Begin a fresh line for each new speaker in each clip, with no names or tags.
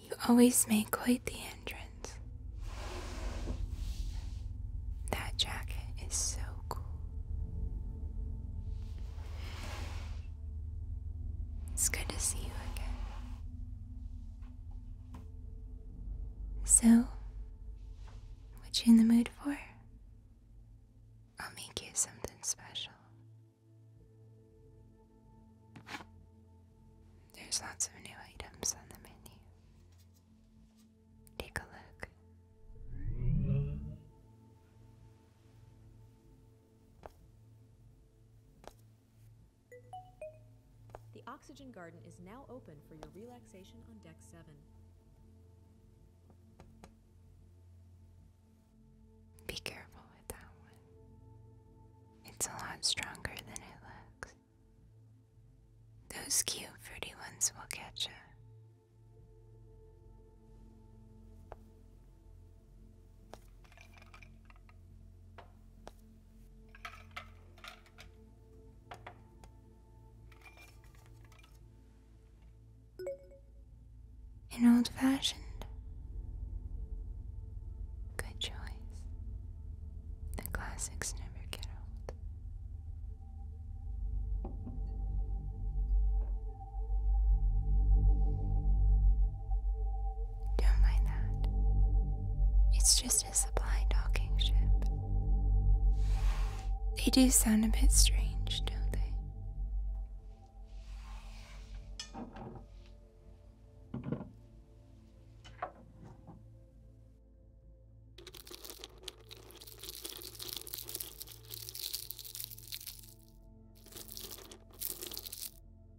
You always make quite the entrance. That jacket is so cool. It's good to see you again. So, what you in the mood for? I'll make you something special. There's lots of new items on the menu. Take a look. The Oxygen Garden is now open for your relaxation on Deck 7. Be careful with that one. It's a lot stronger than it looks. Those cute fruity ones will catch you. An old fashioned. Good choice. The classics never get old. Don't mind that. It's just a supply docking ship. They do sound a bit strange, don't they?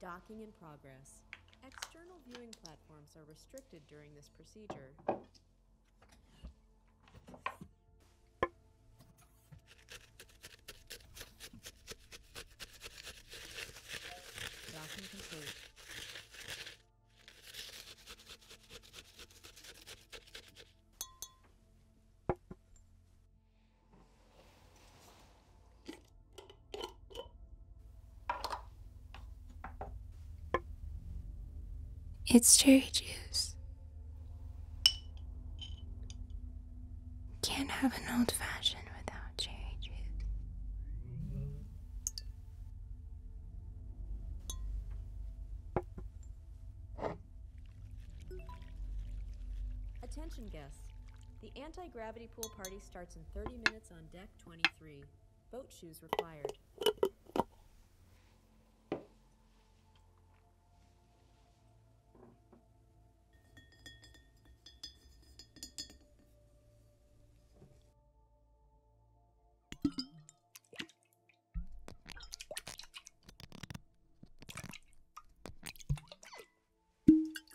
Docking in progress. External viewing platforms are restricted during this this procedure. Vacuum complete. It's cherry juice. Can't have an old fashioned without cherry juice. Attention guests. The anti-gravity pool party starts in 30 minutes on deck 23. Boat shoes required.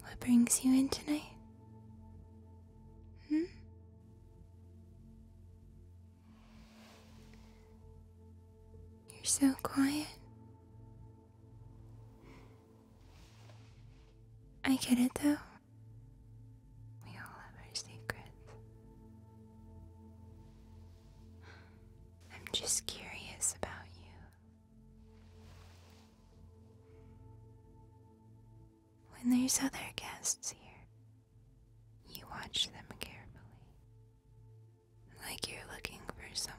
What brings you in tonight? Hmm? You're so quiet. I get it though. We all have our secrets. I'm just curious about you. When there's other guests here, you watch them carefully, like you're looking for someone.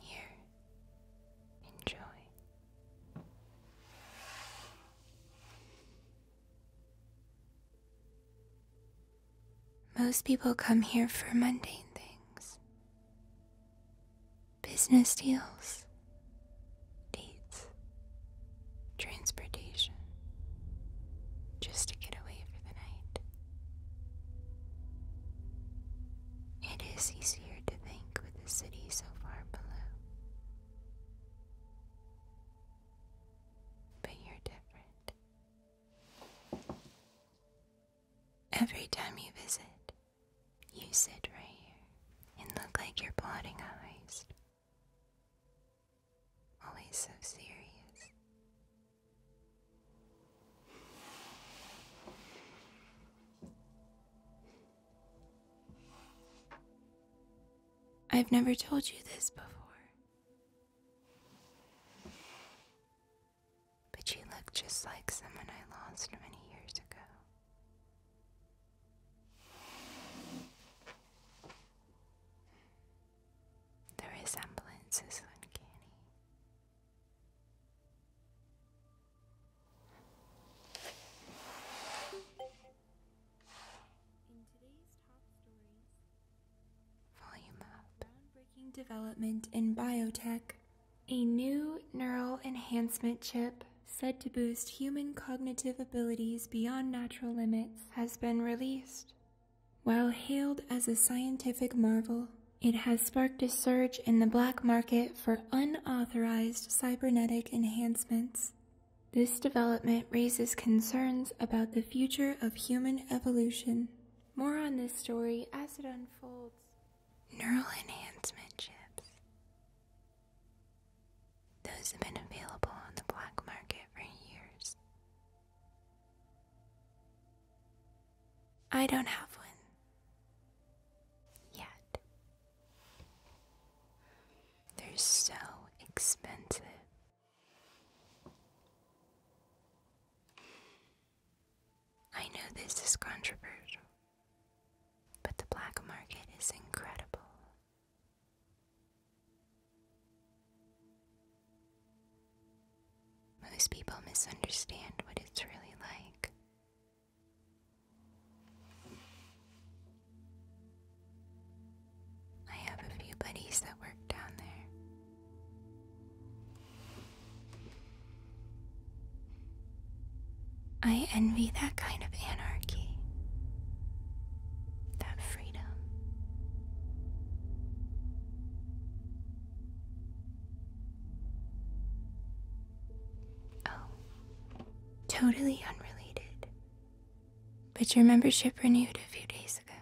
Here, enjoy. Most people come here for mundane things business deals, dates, transportation, just to get away for the night. It is easier to think with the city so far below. But you're different. Every time you visit, you sit right here and look like you're plotting a heist. Always so serious. I've never told you this before. But you look just like someone I lost many years ago. The resemblance is uncanny. Groundbreaking development in biotech. A new neural enhancement chip, said to boost human cognitive abilities beyond natural limits, has been released. While hailed as a scientific marvel, it has sparked a surge in the black market for unauthorized cybernetic enhancements. This development raises concerns about the future of human evolution. More on this story as it unfolds. Neural enhancement chips. Those have been available on the black market for years. I don't have one. Yet. They're so expensive. I know this is controversial, but the black market is incredible. Most people misunderstand what it's really like I have a few buddies that work down there. I envy that kind of anarchy, that freedom. Oh, totally unrelated. But your membership renewed a few days ago.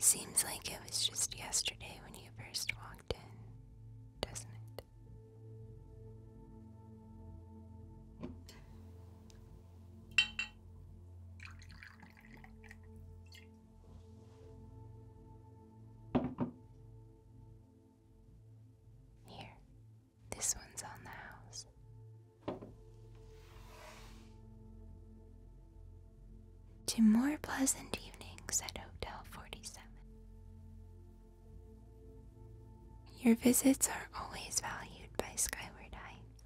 Seems like it was just yesterday when you first walked in doesn't it? Here, this one's on the house. To more pleasant evenings at Hotel 47. Your visits are always valued by Skyward Heights.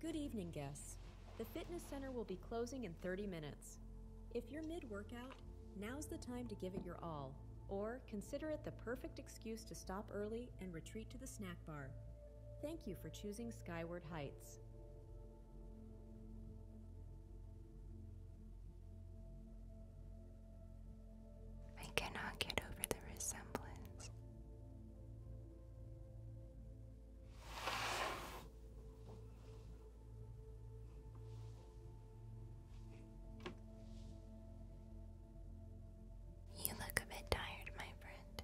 Good evening, guests. The fitness center will be closing in 30 minutes. If you're mid workout, now's the time to give it your all, or consider it the perfect experience excuse to stop early and retreat to the snack bar. Thank you for choosing Skyward Heights. I cannot get over the resemblance. You look a bit tired, my friend.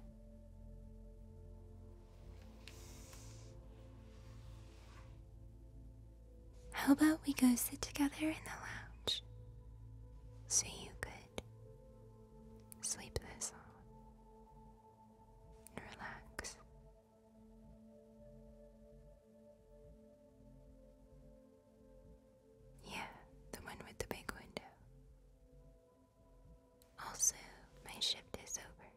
How about we go sit together in the lounge so you could sleep this off and relax? Yeah, the one with the big window. Also, my shift is over.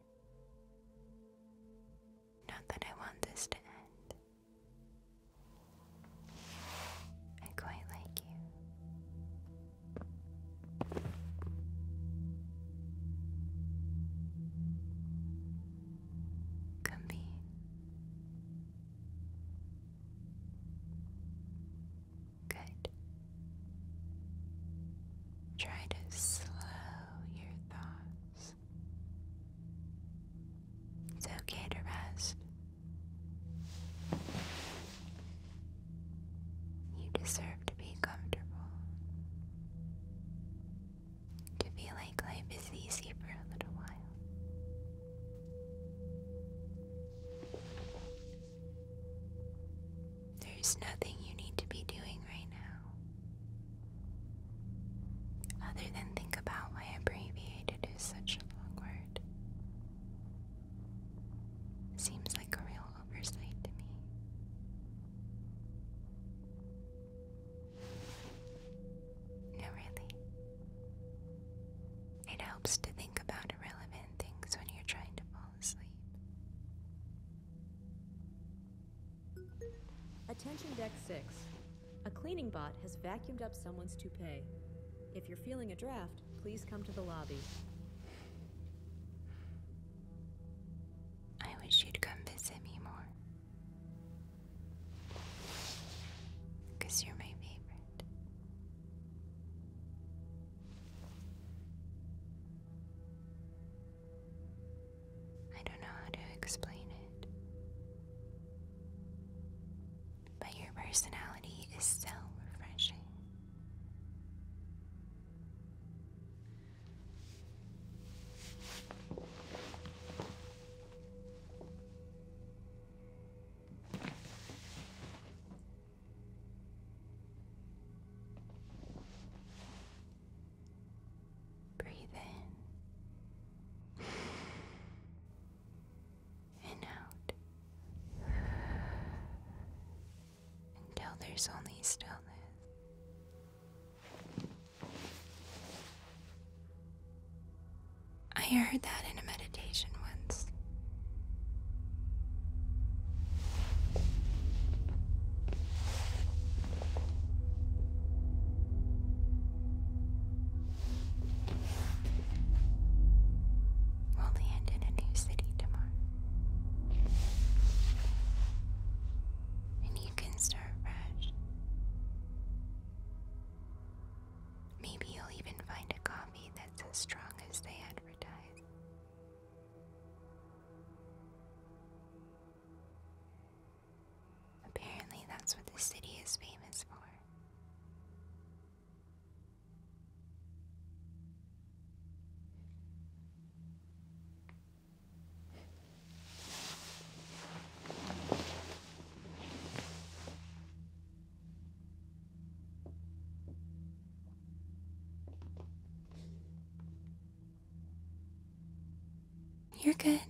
Not that I want this to end. I quite like you. Come Good. Try to slow your thoughts. It's okay to rest. You deserve to be comfortable. To feel like life is easy for a little while. There's nothing you need to be doing right now, other than think about why abbreviated is such a long word. Seems like a real oversight to me. No, really. It helps to think about irrelevant things when you're trying to fall asleep. Attention Deck 6. A cleaning bot has vacuumed up someone's toupee. If you're feeling a draft, please come to the lobby. I wish you'd come visit me more. Because you're my favorite. I don't know how to explain it. But your personality is so refreshing. Breathe in and out until there's only stillness. I heard that in a meditation once. We'll land in a new city tomorrow. And you can start fresh. Maybe you'll even find a coffee that's as strong as they advertise. Apparently, that's what the city is famous for. You're good.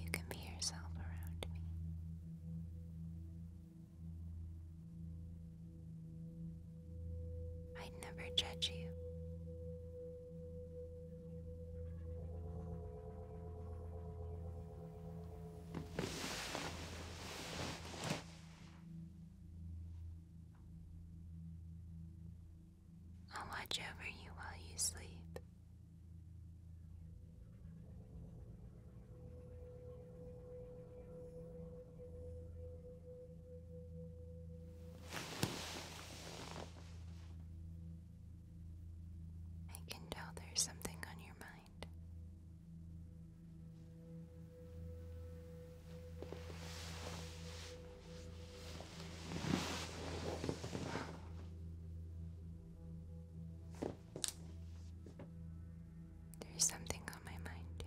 You can be yourself around me. I'd never judge you. I'll watch over you while you sleep. I can tell there's something on your mind. There's something on my mind, too.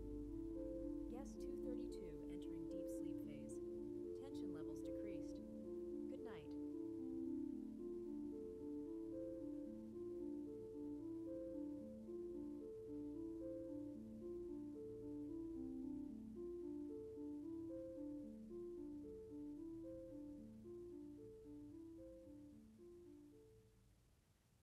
Guest 232 entering deep sleep phase. Tension levels decreased. Good night.